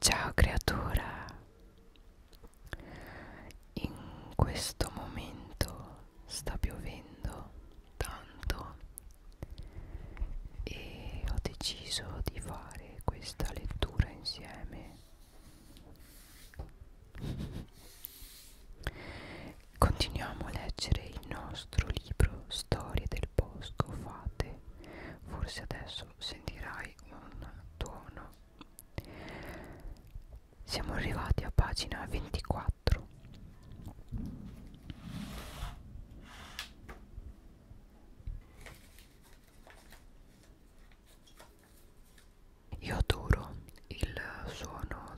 Ciao creatura, in questo momento sta piovendo tanto e ho deciso di fare questa lettura insieme. Continuiamo a leggere il nostro libro Storie del bosco fate, forse adesso adesso sentirai un tuono siamo arrivati a pagina 24 io adoro il suono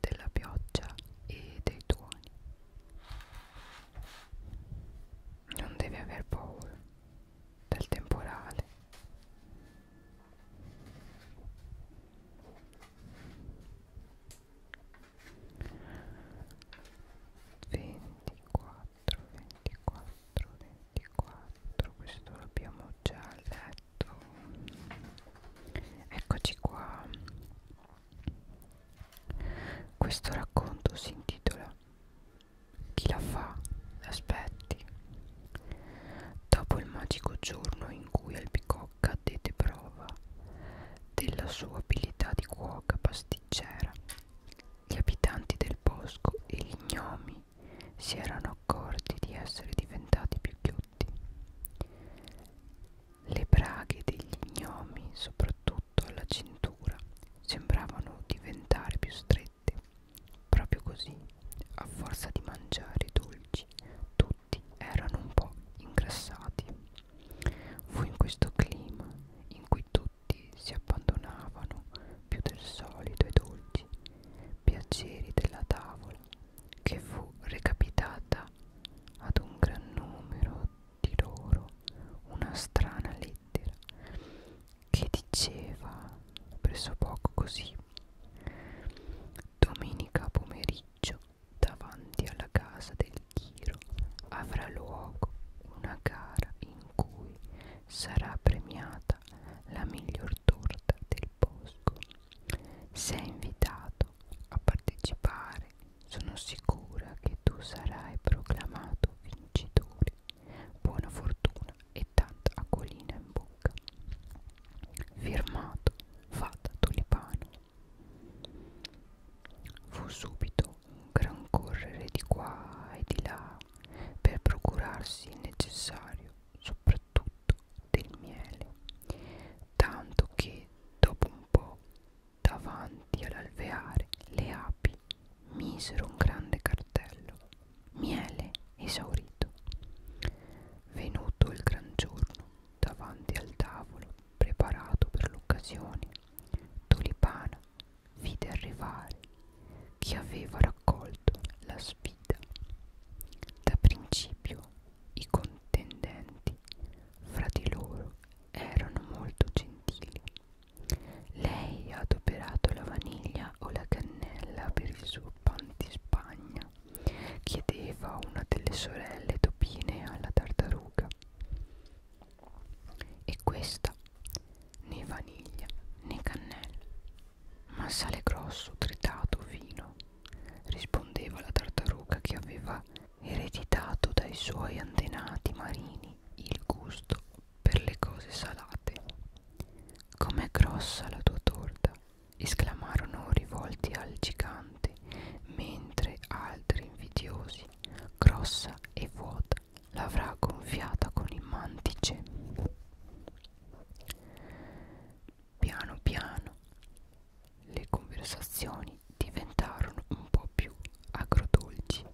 della pioggia e dei tuoni non devi aver paura del temporale ventiquattro ventiquattro ventiquattro questo l'abbiamo già letto eccoci qua questo racconto si intitola chi la fa? Aspetti. Dopo il magico giorno in cui Albicocca dette prova della sua abilità di cuoca pasticcera, gli abitanti del bosco e gli gnomi si erano accorti di essere diventati più ghiotti. Le braghe degli gnomi, soprattutto alla cintura, sembravano diventare più strette notte. Proprio così, a forza di mangiare dolci, tutti erano un po' ingrassati. Fu in questo clima in cui tutti si abbandonavano più del solito ai dolci piaceri della tavola che fu recapitata ad un gran numero di loro una strana lettera che diceva presso poco così domenica pomeriggio davanti alla casa del Chiro avrà luogo una gara in cui sarà premiata la miglior torta del bosco sei invitato a partecipare sono sicura che tu sarai proclamato vincitore Buona fortuna e tanta acquolina in bocca. Firmato Fata Tulipano. Fu subito un gran correre di qua e di là per procurarsi il necessario, soprattutto del miele, tanto che dopo un po' davanti all'alveare le api misero un grande cartello miele esaurito venuto il gran giorno davanti al tavolo preparato per l'occasione tulipana vide arrivare chi aveva raccolto la sfida da principio i contendenti fra di loro erano molto gentili lei ha adoperato la vaniglia o la cannella per il suo pan di Spagna, chiedeva una delle sorelle topine alla tartaruga. E questa né vaniglia né cannella, ma sale grosso tritato fino, rispondeva la tartaruga che aveva ereditato dai suoi antenati marini il gusto per le cose salate. Com'è grossa la tua torta? esclamarono rivolti al gigante, mentre altri invidiosi, grossa e vuota, l'avrà gonfiata con il mantice. Piano piano le conversazioni diventarono un po' più agrodolci.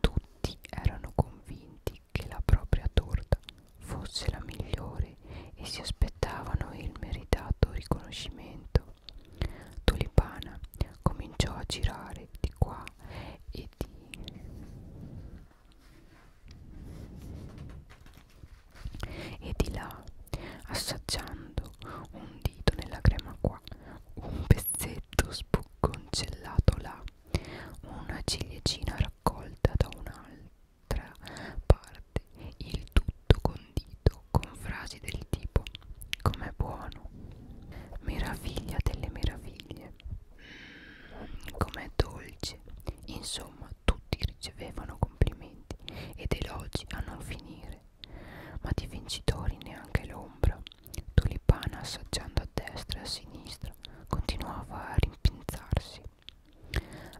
Tutti erano convinti che la propria torta fosse la migliore e si aspettavano il meritato riconoscimento. Tulipana cominciò a girare di qua e di e di là assaggiando un dito nella crema qua un pezzetto spucconcellato là una ciliegina raccolta da un'altra parte, il tutto condito con frasi del tipo com'è buono, meraviglia delle meraviglie, mm, com'è dolce, insomma tutti ricevevano complimenti ed elogi a non finire, ma di vincitori neanche l'ombra, tulipana assaggiando a destra e a sinistra Peter continuava a rimpinzarsi.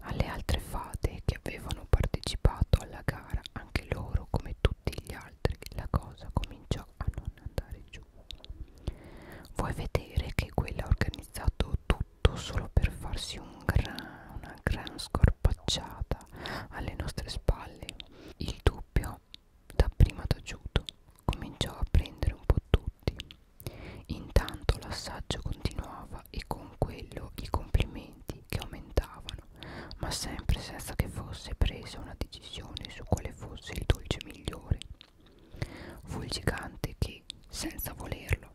Alle altre fate che avevano partecipato alla gara, anche loro, come tutti gli altri, la cosa cominciò a non andare giù. Vuoi vedere che quella ha organizzato tutto solo per farsi un gran, una gran scorpacciata alle nostre spalle? Il dubbio, dapprima taciuto, cominciò a prendere un po' tutto frutti. Intanto l'assaggio continuava e con quello i complimenti che aumentavano, ma sempre senza che fosse presa una decisione su quale fosse il dolce migliore. Fu il gigante che, senza volerlo,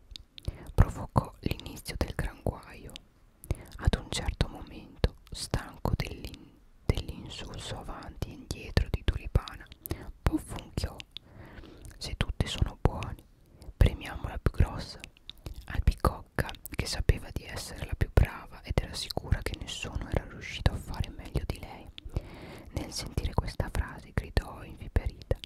provocò l'inizio del gran guaio. Ad un certo momento, stanco dell'insulso dell avanti e indietro di Tulipana, poffunchiò se tutti sono buoni, premiamo la più grossa. Albicocca, che sapeva di essere la più brava ed era sicura che nessuno era riuscito a fare meglio di lei, nel sentire questa frase gridò inviperita: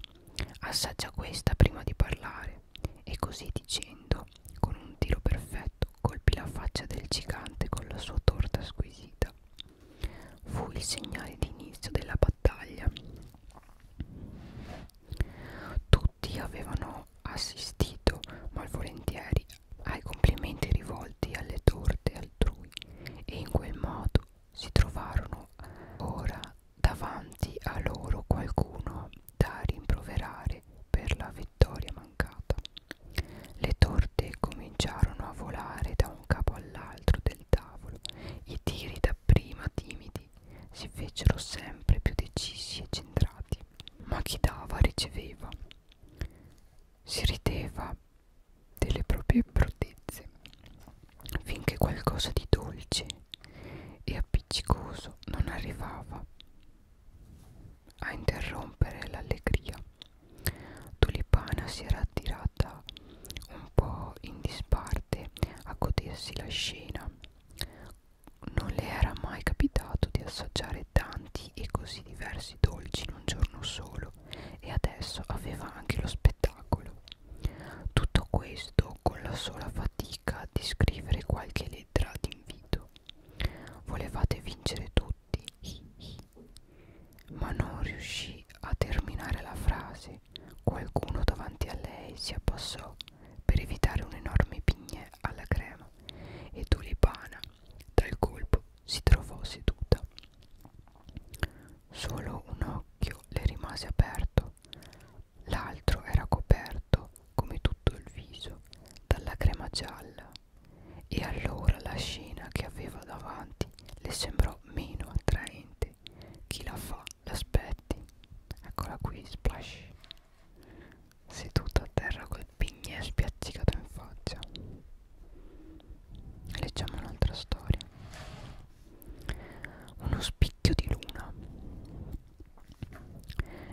Assaggia questa prima di parlare. E così dicendo, con un tiro perfetto, colpì la faccia del gigante con la sua torta squisita. Fu il segnale di inizio della battaglia. Tutti avevano assistito malvolentieri ai complimenti rivolti alle torte altrui e in quel modo si trovarono ora davanti a loro qualcuno da rimproverare per la vittoria mancata. Le torte cominciarono a volare da un capo all'altro del tavolo. I tiri dapprima timidi si fecero sempre più decisi e centrati, ma chi dava riceveva. Si rideva delle proprie bruttezze, finché qualcosa di dolce e appiccicoso non arrivava a interrompere l'allegria Tulipana si era attirata un po' in disparte a godersi la scena. Non le era mai capitato di assaggiare tanti e così diversi dolci in un giorno solo e adesso aveva anche lo spettacolo. Tutto questo con la sola fatica di scrivere qualche lettera d'invito. Volevate vincere tutti ma non riuscì a terminare la frase. Qualcuno davanti a lei si abbassò per evitare un enorme pignè alla crema e Tulipana dal colpo si trovò seduta. Solo un occhio le rimase aperto, l'altro era coperto, come tutto il viso, dalla crema gialla, e allora la scena che aveva davanti le sembrò sarà meno attraente chi la fa l'aspetti eccola qui splash seduta a terra col pignè spiazzicato in faccia leggiamo un'altra storia uno spicchio di luna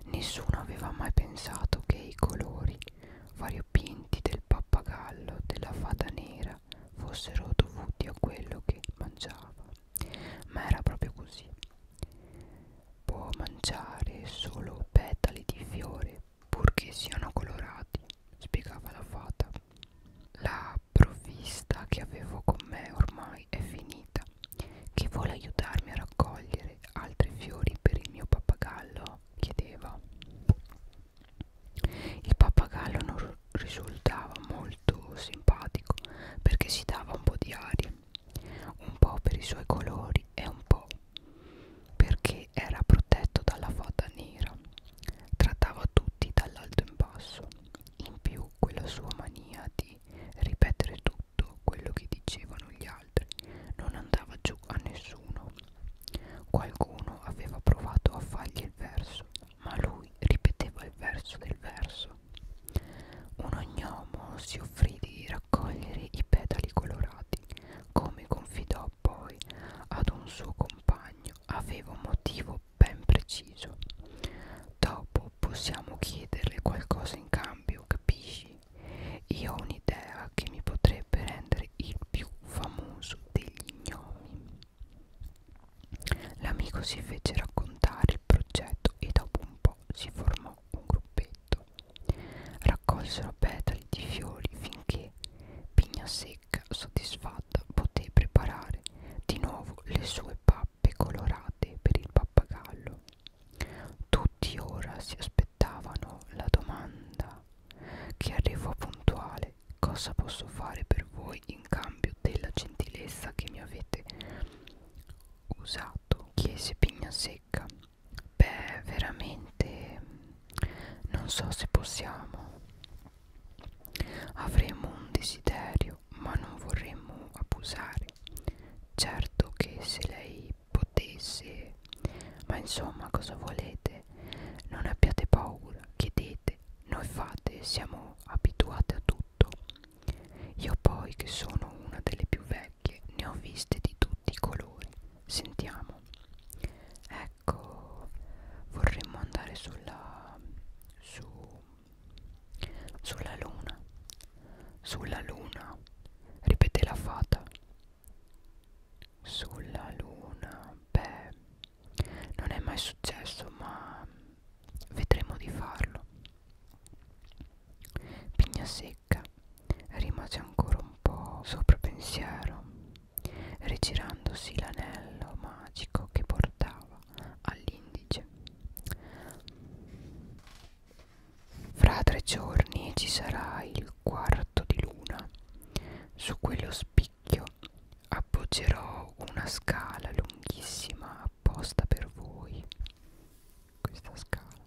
nessuno aveva mai pensato che i colori variopinti del pappagallo della fata nera fossero dovuti a quello che mangiava, ma era proprio così. Può mangiare solo petali di fiore, purché siano colorati, spiegava la fata. La provvista che avevo con me ormai è finita. Chi vuole aiutarmi a raccogliere altri fiori per il mio pappagallo? chiedeva. Il pappagallo non risultava molto simpatico perché si dava un po' di aria, un po' per i suoi colori e un po' perché era protetto dalla fata nera. Trattava tutti dall'alto in basso, in più quella sua mania di ripetere tutto quello che dicevano gli altri non andava giù a nessuno. Qualcuno aveva provato a fargli il verso, ma lui ripeteva il verso del verso. Un ognomo si offrì di raccogliere i petali colorati, come confidò poi ad un suo compagno, aveva un motivo ben preciso. Dopo possiamo chiederle qualcosa in cambio, capisci? Io ho un'idea che mi potrebbe rendere il più famoso degli gnomi. L'amico si fece raccontare il progetto e dopo un po' si formò un gruppetto. Raccolsero petali di fiori finché Pigna Secca, soddisfatta, poté preparare di nuovo le sue pappe colorate per il pappagallo. Tutti ora si aspettavano la domanda che arrivò puntuale chiese cosa posso fare per voi in cambio della gentilezza che mi avete usato chiese Pignasecca beh veramente non so se possiamo avremo un desiderio ma non vorremmo abusare certo che se lei potesse ma insomma cosa volete non abbiate paura, chiedete, noi fate, siamo abituate a tutto. Io poi che sono una delle più vecchie, ne ho viste di tutti i colori. Sentiamo. Ecco, vorremmo andare sulla su sulla luna. Sulla luna, ripete la fata. Sulla luna, beh, non è mai successo ma vedremo di farlo pigna secca rimase ancora un po' sopra pensiero rigirandosi l'anello magico che portava all'indice fra tre giorni ci sarà il quarto di luna su quello spiccato specchio appoggerò una scala lunghissima apposta per voi questa scala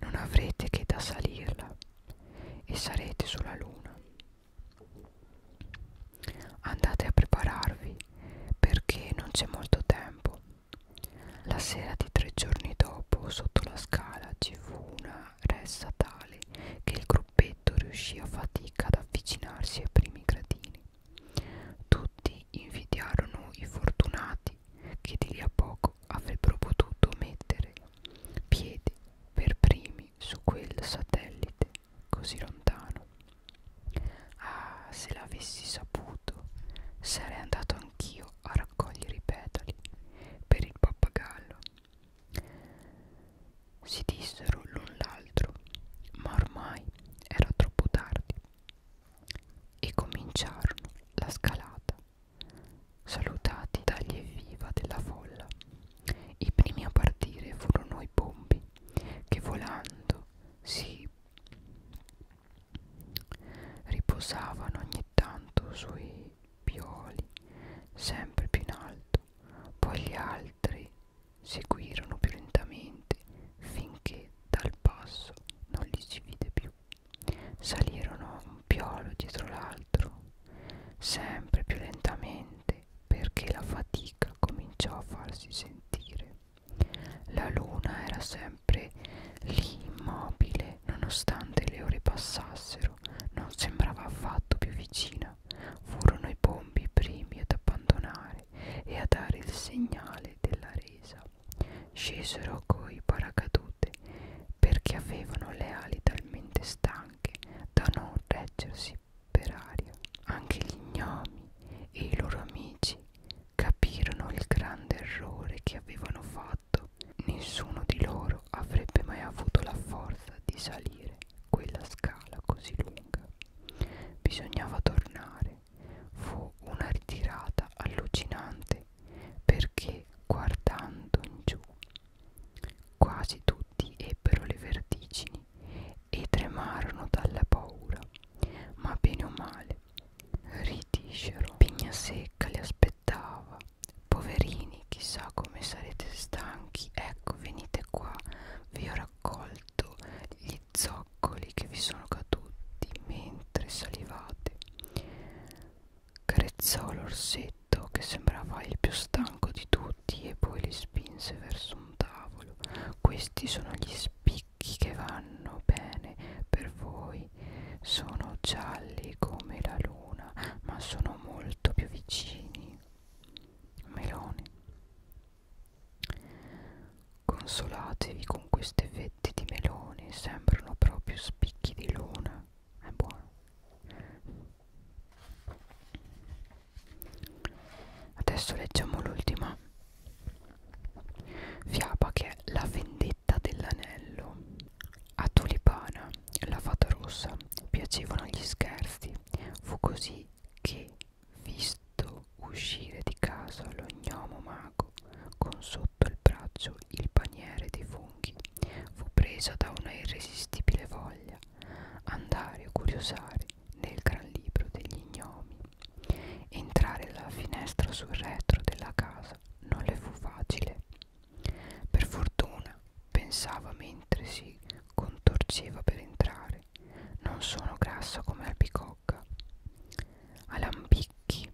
non avrete che da salirla e sarete sulla luna andate a prepararvi perché non c'è molto tempo la sera di tre giorni dopo sotto la scala ci fu una ressa tale che il gruppetto riuscì a fatica ad avvicinarsi ai primi gradini. Tutti invidiarono i fortunati che di lì a poco avrebbero potuto mettere piedi per primi su quel satellite così lontano. Ah, se l'avessi saputo, sarei andato anch'io a raccogliere i petali per il pappagallo si dissero l'un l'altro, ma ormai era troppo tardi e cominciarono la scalata, salutati dagli evviva della folla. I primi a partire furono i bombi che volando si riposavano ogni tanto sui pioli sempre più in alto poi gli altri seguirono più lentamente finché dal passo non li si vide più. Salirono un piolo dietro l'altro, sempre più lentamente perché la fatica cominciò a farsi sentire. La luna era sempre lì immobile, nonostante le ore passassero, non sembrava affatto più vicina furono i pompi i primi ad abbandonare e a dare il segnale della resa. Scesero coi paracadute perché avevano le ali talmente stanche da non reggersi per aria. Anche gli gnomi e i loro amici capirono il grande errore che avevano fatto. Nessuno di loro avrebbe mai avuto la forza di salire quella scala così lunga. Bisognava tornare. Fu una ritirata allucinante perché guardando in giù quasi tutti ebbero le vertigini e tremarono dalla paura, ma bene o male ritiscero. Pigna secca li aspettava Poverini, chissà come sarete stanchi. Ecco, venite qua. Vi ho raccolto gli zoccoli che vi sono caduti mentre salivate. Carezzò l'orsetto che sembrava il più stanco di tutti e poi li spinse verso un tavolo. Questi sono gli spicchi che vanno bene per voi. Sono gialli come la luna, ma sono molto più vicini meloni consolatevi con queste fette di meloni sembrano proprio spicchi di luna è buono adesso leggiamo l'ultima fiaba che è la vendetta dell'anello a tulipana la fata rossa piacevano gli scherzi fu così che visto uscire di casa lo gnomo mago con sotto il braccio il paniere dei funghi fu presa da una irresistibile voglia andare a curiosare nel gran libro degli gnomi entrare dalla finestra sul retro della casa non le fu facile per fortuna pensava mentre si contorceva per entrare. Non sono grassa come l'albicocca. Ha lambicchi,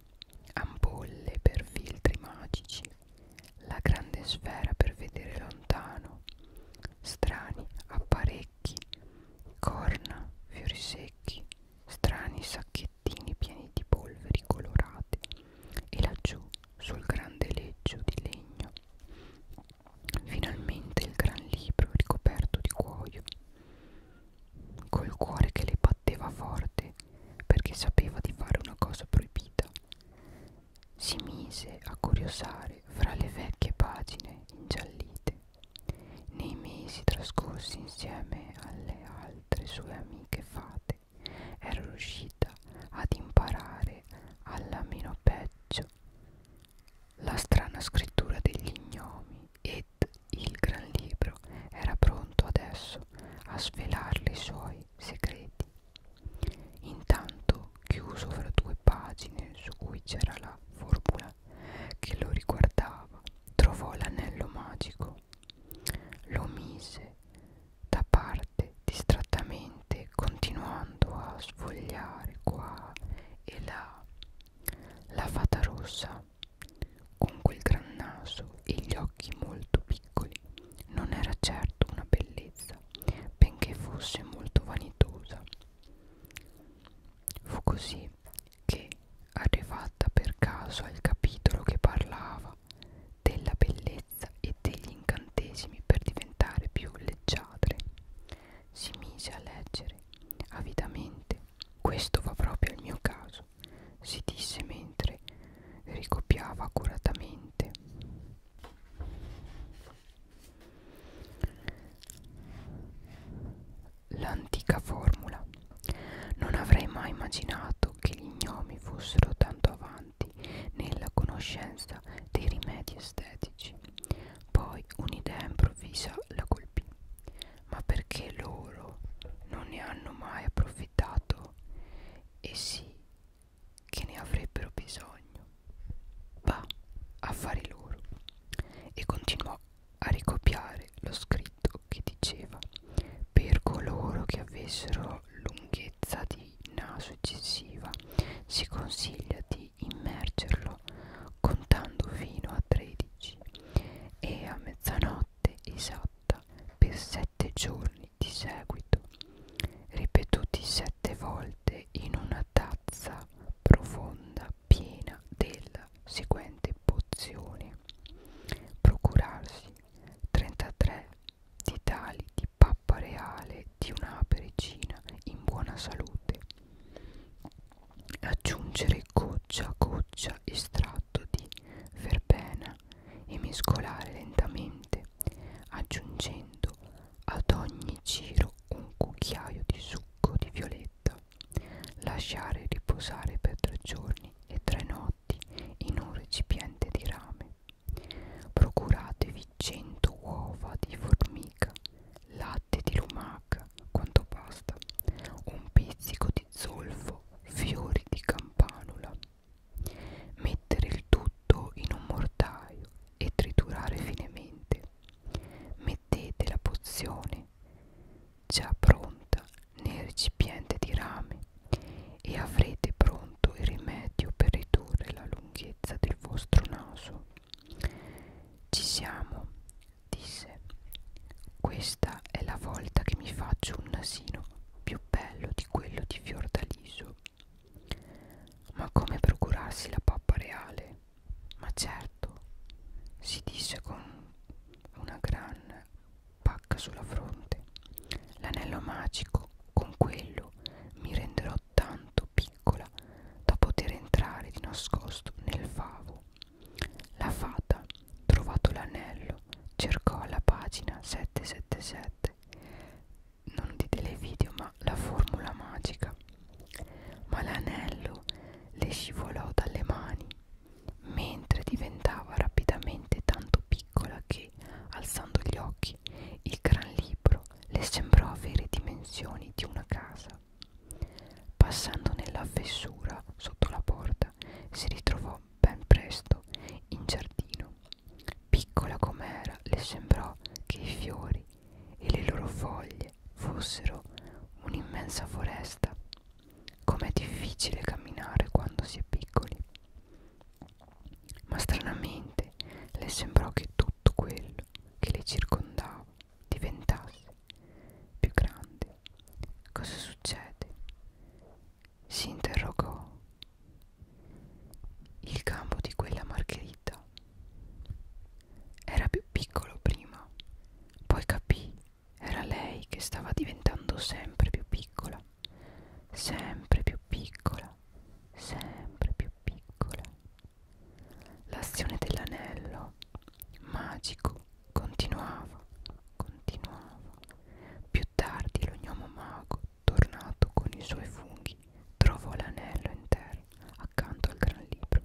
ampolle per filtri magici, la grande sfera per vedere lontano, strani apparecchi, corna, fiori secchi, strani sacchettini pieni di polveri colorate e laggiù sul grande leggio di legno Finalmente il gran libro ricoperto di cuoio, col cuore che le batteva forte perché sapeva di fare una cosa proibita. Si mise a curiosare fra le vecchie pagine ingiallite, nei mesi trascorsi insieme alle altre sue amiche fate era riuscita ad imparare alla meno peggio la strana scrittura degli ignomi ed il gran libro era pronto adesso a svelarle i suoi segreti. Intanto, chiuso fra due pagine su cui c'era la formula che lo riguardava, trovò l'anello magico, lo mise da parte parte distrattamente continuando a sfogliare qua e là la fata rossa con quel gran naso e gli occhi molto piccoli non era certo una bellezza benché fosse molto vanitosa fu così che arrivata per caso al capitolo che parlava della bellezza e e degli incantesimi per diventare più leggiadre. Si mise a leggere avidamente. Questo va proprio al mio caso, si disse mentre ricopiava accuratamente. L'antica formula. Non avrei mai immaginato che gli gnomi fossero tanto avanti avanti nella conoscenza dei rimedi estetici. Poi un'idea improvvisa la colpì. Ma perché loro non ne hanno mai approfittato? E sì, che ne avrebbero bisogno. Va, affari loro. E continuò a ricopiare lo scritto che diceva per coloro che avessero lunghezza di naso eccessiva si consiglia di di immergerlo contando fino a 13 e a mezzanotte esatta per 7 giorni di seguito, ripetuti 7 volte in una tazza profonda piena della seguente pozione. Procurarsi 33 ditali di pappa reale di una apericina in buona salute aggiungere goccia a goccia estratto di verbena e mescolare lentamente aggiungendo ad ogni giro un cucchiaio di succo di violetta lasciare riposare per tre giorni e tre notti in un recipiente di rame procuratevi mangiavi 100 uova di formica, latte di lumaca, quanto basta, un pizzico di zolfo, fiori di campanula. Mettere il tutto in un mortaio e triturare finemente. Mettete la pozione già pronta nel recipiente di rame e avrete pronto il rimedio per ridurre la lunghezza del vostro naso. Ci siamo, disse. Questa è la volta che mi faccio un nasino più bello di quello di Fiordaliso. Ma come procurarsi la pappa reale? Ma certo, si disse con una gran pacca sulla fronte. L'anello magico, con quello mi renderò tanto piccola da poter entrare di nascosto nel favo. La fata, trovato l'anello, cercò alla pagina 777, non di televideo, ma la formula magica. Ma l'anello le scivolò dalle mani mentre diventava rapidamente tanto piccola che, alzando gli occhi, occhi. Il gran libro le sembrò avere dimensioni di una casa. Passando nella fessura sotto la porta, si ritrovò ben presto in giardino. Piccola com'era, le sembrò che i fiori e le loro foglie fossero un'immensa foresta. Com'è difficile camminare quando si è piccoli. Ma stranamente le sembrò che tutti tutto quello che le circondava diventasse più grande. Cosa succede? Si interrogò il campo di quella margherita. Era più piccolo prima, poi capì era lei che stava diventando sempre più piccola, sempre più piccola, sempre più piccola. L'azione dell'anello magico continuava, continuava. Più tardi l'ognomo mago, tornato con i suoi funghi, trovò l'anello in terra accanto al gran libro.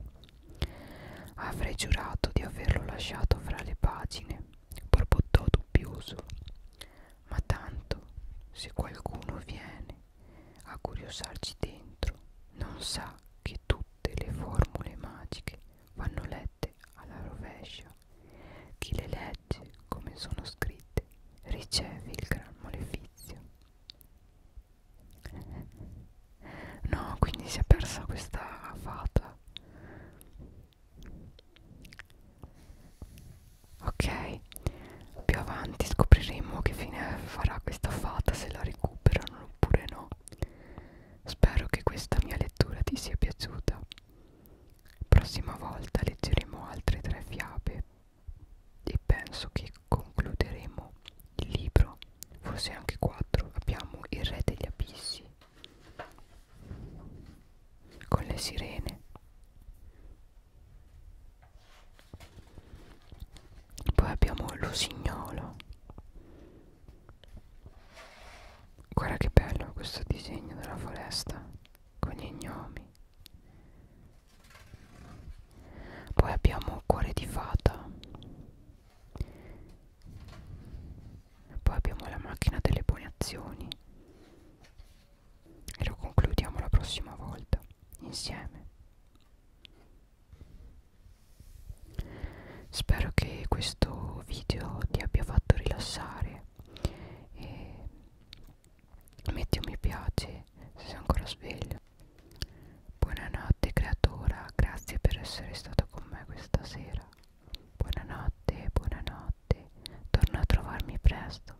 Avrei giurato di averlo lasciato fra le pagine, borbottò dubbioso. Ma tanto, se qualcuno viene a curiosarci dentro non sa che tutte le formule magiche vanno lette alla rovescia. Chi le legge come sono scritte riceve il gran malefizio. No, quindi si è persa questa fata. Ok, più avanti scopriremo che fine farà questa fata se la recuperano oppure no spero che questa mia lettura ti sia piaciuta prossima volta leggeremo altre tre fiabe e penso che concluderemo il libro forse anche quattro abbiamo il re degli abissi con le sirene poi abbiamo l'usignolo guarda che bello questo disegno della foresta con gli gnomi poi abbiamo cuore di fata poi abbiamo la macchina delle buone azioni e lo concludiamo la prossima volta insieme Spero che questo video ti abbia fatto rilassare e metti un mi piace se sei ancora sveglio. Buonanotte creatora, grazie per essere stato con me questa sera. Buonanotte, buonanotte, torna a trovarmi presto.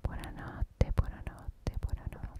Buonanotte, buonanotte, buonanotte.